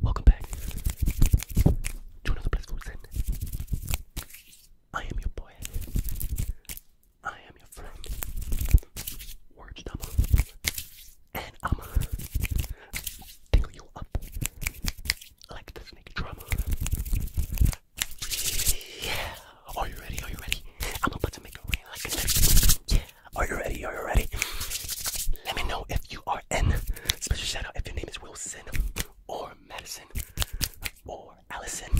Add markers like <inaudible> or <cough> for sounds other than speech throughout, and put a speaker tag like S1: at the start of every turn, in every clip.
S1: Welcome back to another blissful sin. I am your boy. I am your friend. Word double. And I'ma tingle you up are you ready? Are you ready? I'm about to make it rain like a Yeah. Are you ready? Are you ready? Let me know if you are in. Special shout out if your name is Wilson or Madison or Allison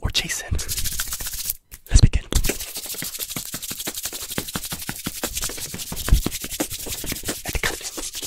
S1: or Jason. Let's begin. At the continent.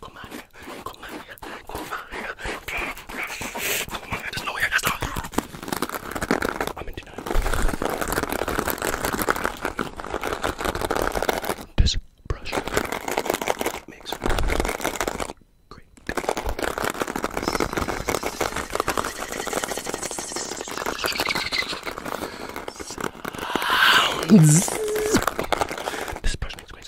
S1: Come on here. Come on here. Come on here. Okay. Come on here. There's no way I can stop. I'm in denial. This brush makes great. Sounds. This brush makes great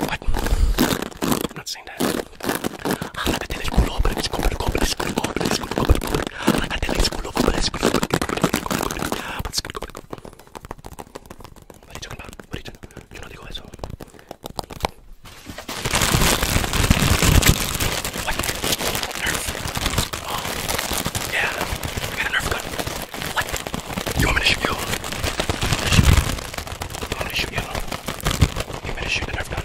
S1: What? I'm not saying that. What are you talking about? What are you talking about? Yo no digo eso. What? Nerf? Oh, yeah. I got a Nerf gun. What? You want me to shoot you? You want me to shoot you? You want me to shoot the Nerf gun?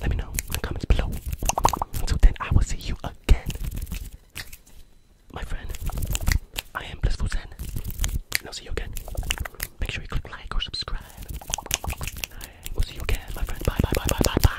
S1: Let me know in the comments below. Until then, I will see you again. My friend, I am Blissful Zen. And I'll see you again. Make sure you click
S2: like or subscribe. We'll see you again, my friend. Bye, bye, bye, bye, bye, bye.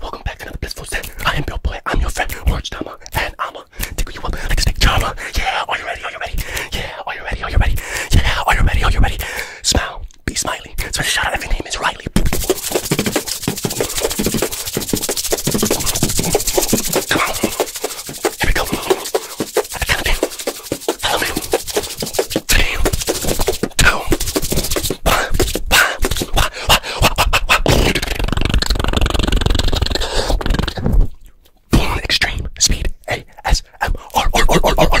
S1: Welcome back to another blissful set. I am your Boy. I'm your friend, Orange Dama, and I'ma tickle you up like a snake charmer. Yeah, are you ready? Are you ready? Yeah, are you ready? Are you ready? Yeah, are you ready? Are you ready? Smile, be smiley. So shout out if your name is Riley.
S2: Here we go. Follow me.
S1: extreme speed. A S M R
S2: R R R R. R.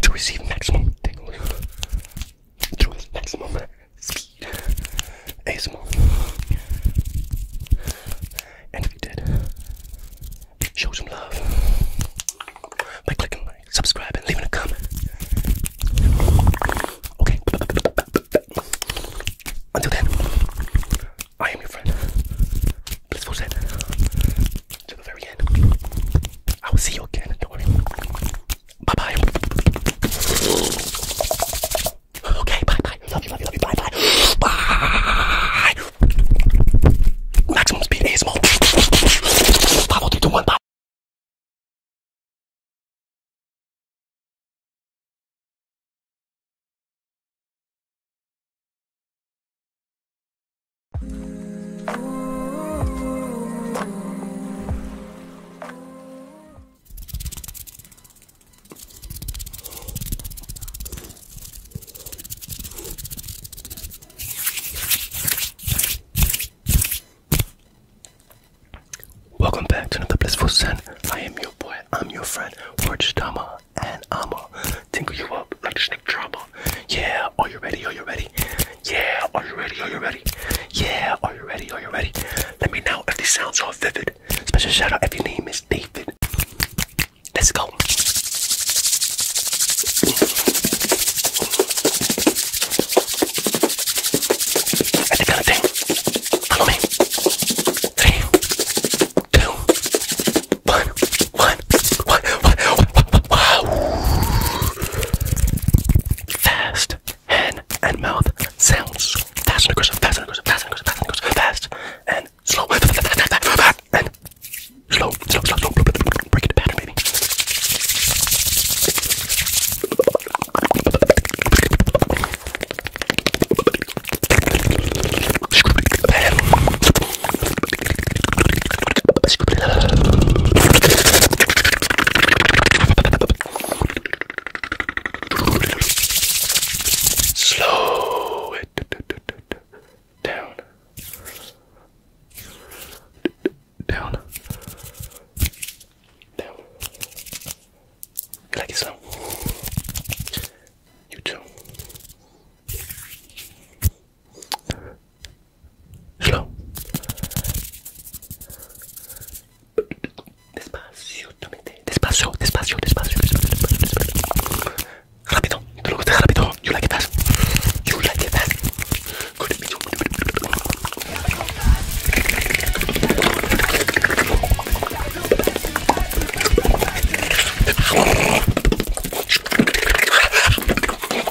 S1: to receive maximum to its maximum speed. ASMR. And if you did, show some love by clicking like, subscribe, leaving a comment. Okay. Until then, I am your friend. Blissful Zen to the very end.
S2: I will see you again. Bye bye. Okay, bye bye. Love you, love you, love you. Bye bye. Bye. Maximum speed ASMR. 5, bye.
S1: Welcome back to another blissful send. I am your boy, I'm your friend, Warch Tama, and I'm a tingle you up like a snake drama. Yeah, are you ready? Are you ready? Yeah, are you ready? Are you ready? Yeah, are you ready? Are you ready? Let me know if these sounds are vivid. Special shout out if your name is David. Let's go.
S2: At the kind of thing. Follow me. Three, two, one one, one, one,
S1: one, wow. Fast hand and mouth sounds. Fast and aggressive, fast and aggressive, fast and aggressive, fast and aggressive, fast and slow, and slow, slow, slow, slow, break it pattern, baby. Slow it down. Down. Down. Like so. You too. Slow. Despacio, despacio, despacio, despacio, despacio, despacio. Rápido, te lo rápido. You like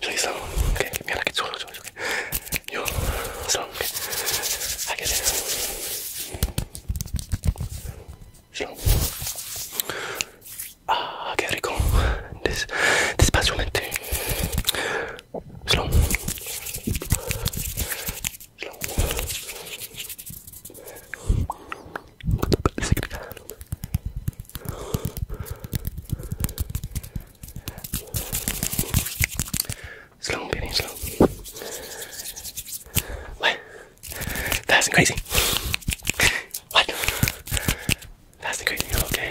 S1: 저기 있어. 오케이, 미안하게 okay. 저기 저기 저기. 요, 선. 하게 돼. 선. 아, qué rico. Des, despaciamente. Slow. Slow. Slow, baby, slow. What? That's crazy. What? That's crazy. Okay.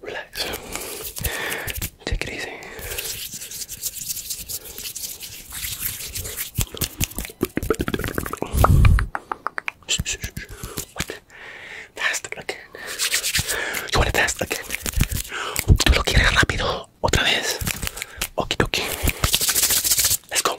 S1: relax. Take it easy. What? again. You want to fast again? Tú lo quieres rápido otra vez. Okie dokie. Let's go.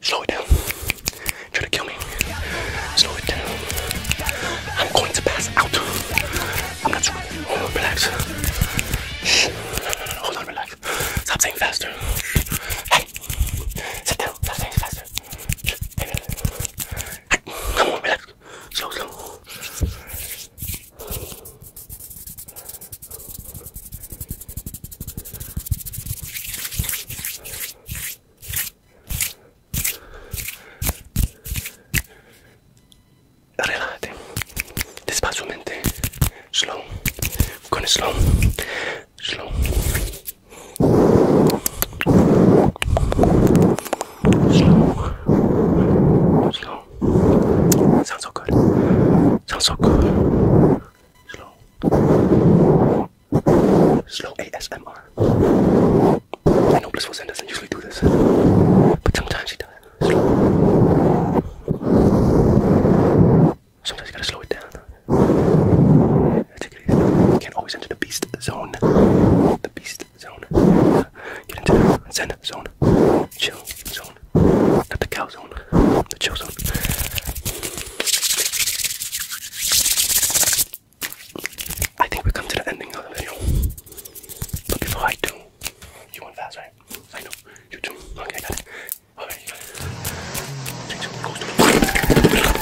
S1: Slow it down. Try to kill me. Slow it down. I'm going to pass out. I'm not sure. Hold on, relax. Shh. Hold on, relax. Stop saying faster. Hey, sit down. Stop saying faster. Hey, Come on, relax. Slow, slow. Relájate. Despacio mente. Slow. Con slow. Slow. Slow. Slow. Sounds so good. Sounds so good. Slow. Slow ASMR. I know Blissful Zen doesn't usually do this, but sometimes he does. Slow. Sometimes you gotta slow it down basically can always enter the beast zone. The beast zone. Get into the zen zone. Chill zone. Not the cow zone. The chill zone. I think we come to the ending of the video. But before I do, you want fast, right? I know. You too. Okay, I Okay, you got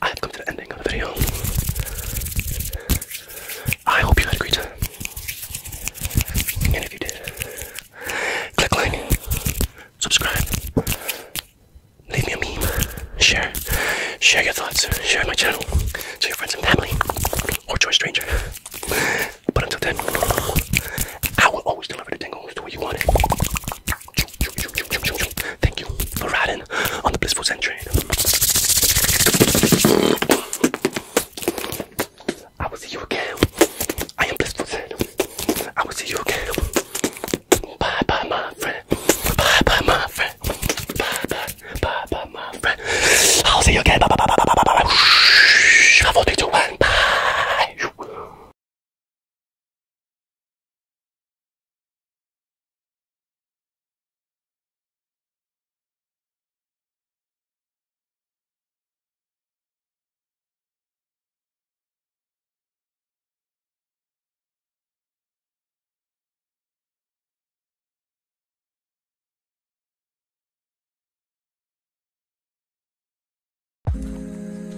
S1: I have come to the ending of the video. I hope you had a great time. And if you did, click like, subscribe, leave me a meme, share, share your thoughts, share my channel to your friends and family, or to stranger. But until then, I will always deliver the tingles to where you want Thank you for riding on the blissful train. I will see you again. I am blissful I will see you again. Bye bye, my friend. Bye bye, my friend. Bye bye,
S2: bye bye, my friend. I'll see you again. Bye bye, bye bye, bye bye, bye bye. Bye.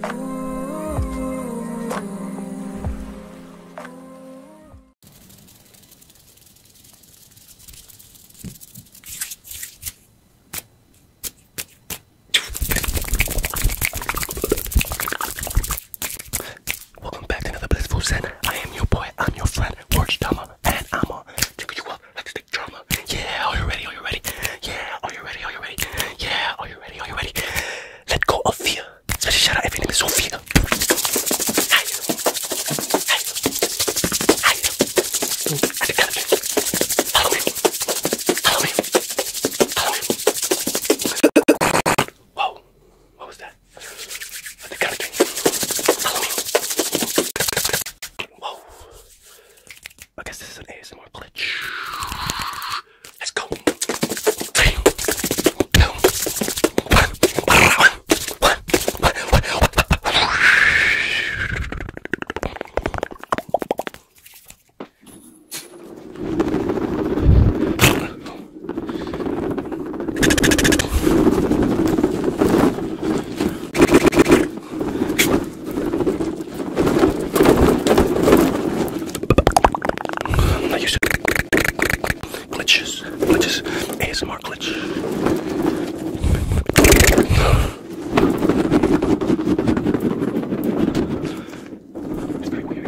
S1: Ooh, ooh, Welcome back to another Blissful Zen. I am your boy, I'm your friend, George Tama, and I'm a tickle you up like stick drama. Yeah, are you ready? Are you ready? Yeah, are you ready? Are you ready? Yeah, are you ready? Are you ready? Let go of fear. Zbliża efendim Sofia. Hayır.
S2: Hayır. Hayır. Hadi gel. Follow me. Follow me. Follow me. Wow. What was that? Hadi gel. Follow
S1: me. Wow. I guess this is an ASMR glitch. Let's go. Three, two, one. I used to glitches, glitches, ASMR glitch. It's pretty weird.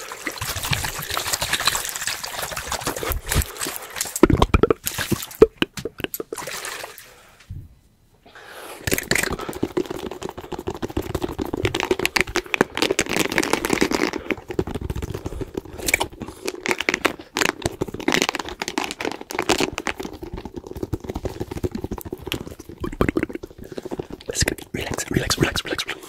S1: Let's get relax, relax, relax, relax, relax.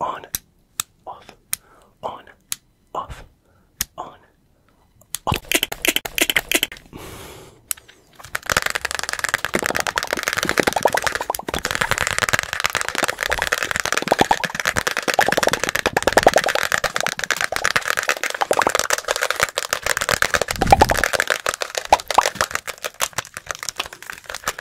S1: On, off, on, off, on, off.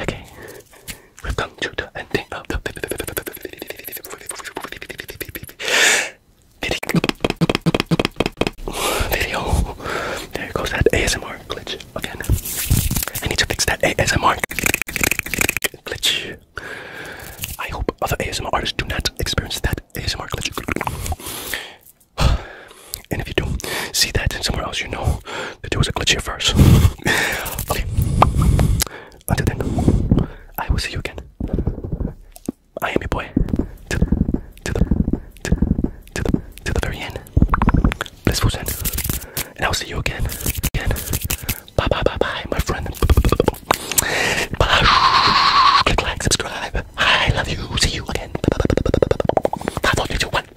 S1: Okay, we to the ending of the video. There goes that ASMR glitch again. I need to fix that ASMR glitch. I hope other ASMR artists do not experience that ASMR glitch. <sighs> And if you do see that somewhere else, you know that there was a glitch here first. <sighs> okay. Until then, I will see you again. I am your boy. To the, to the, to the, to the very end blissful Zen. And I'll see you again. Again. Bye bye bye bye, my friend. Bye. like, subscribe. I
S2: love you. See you again. Five, four, three, two, one.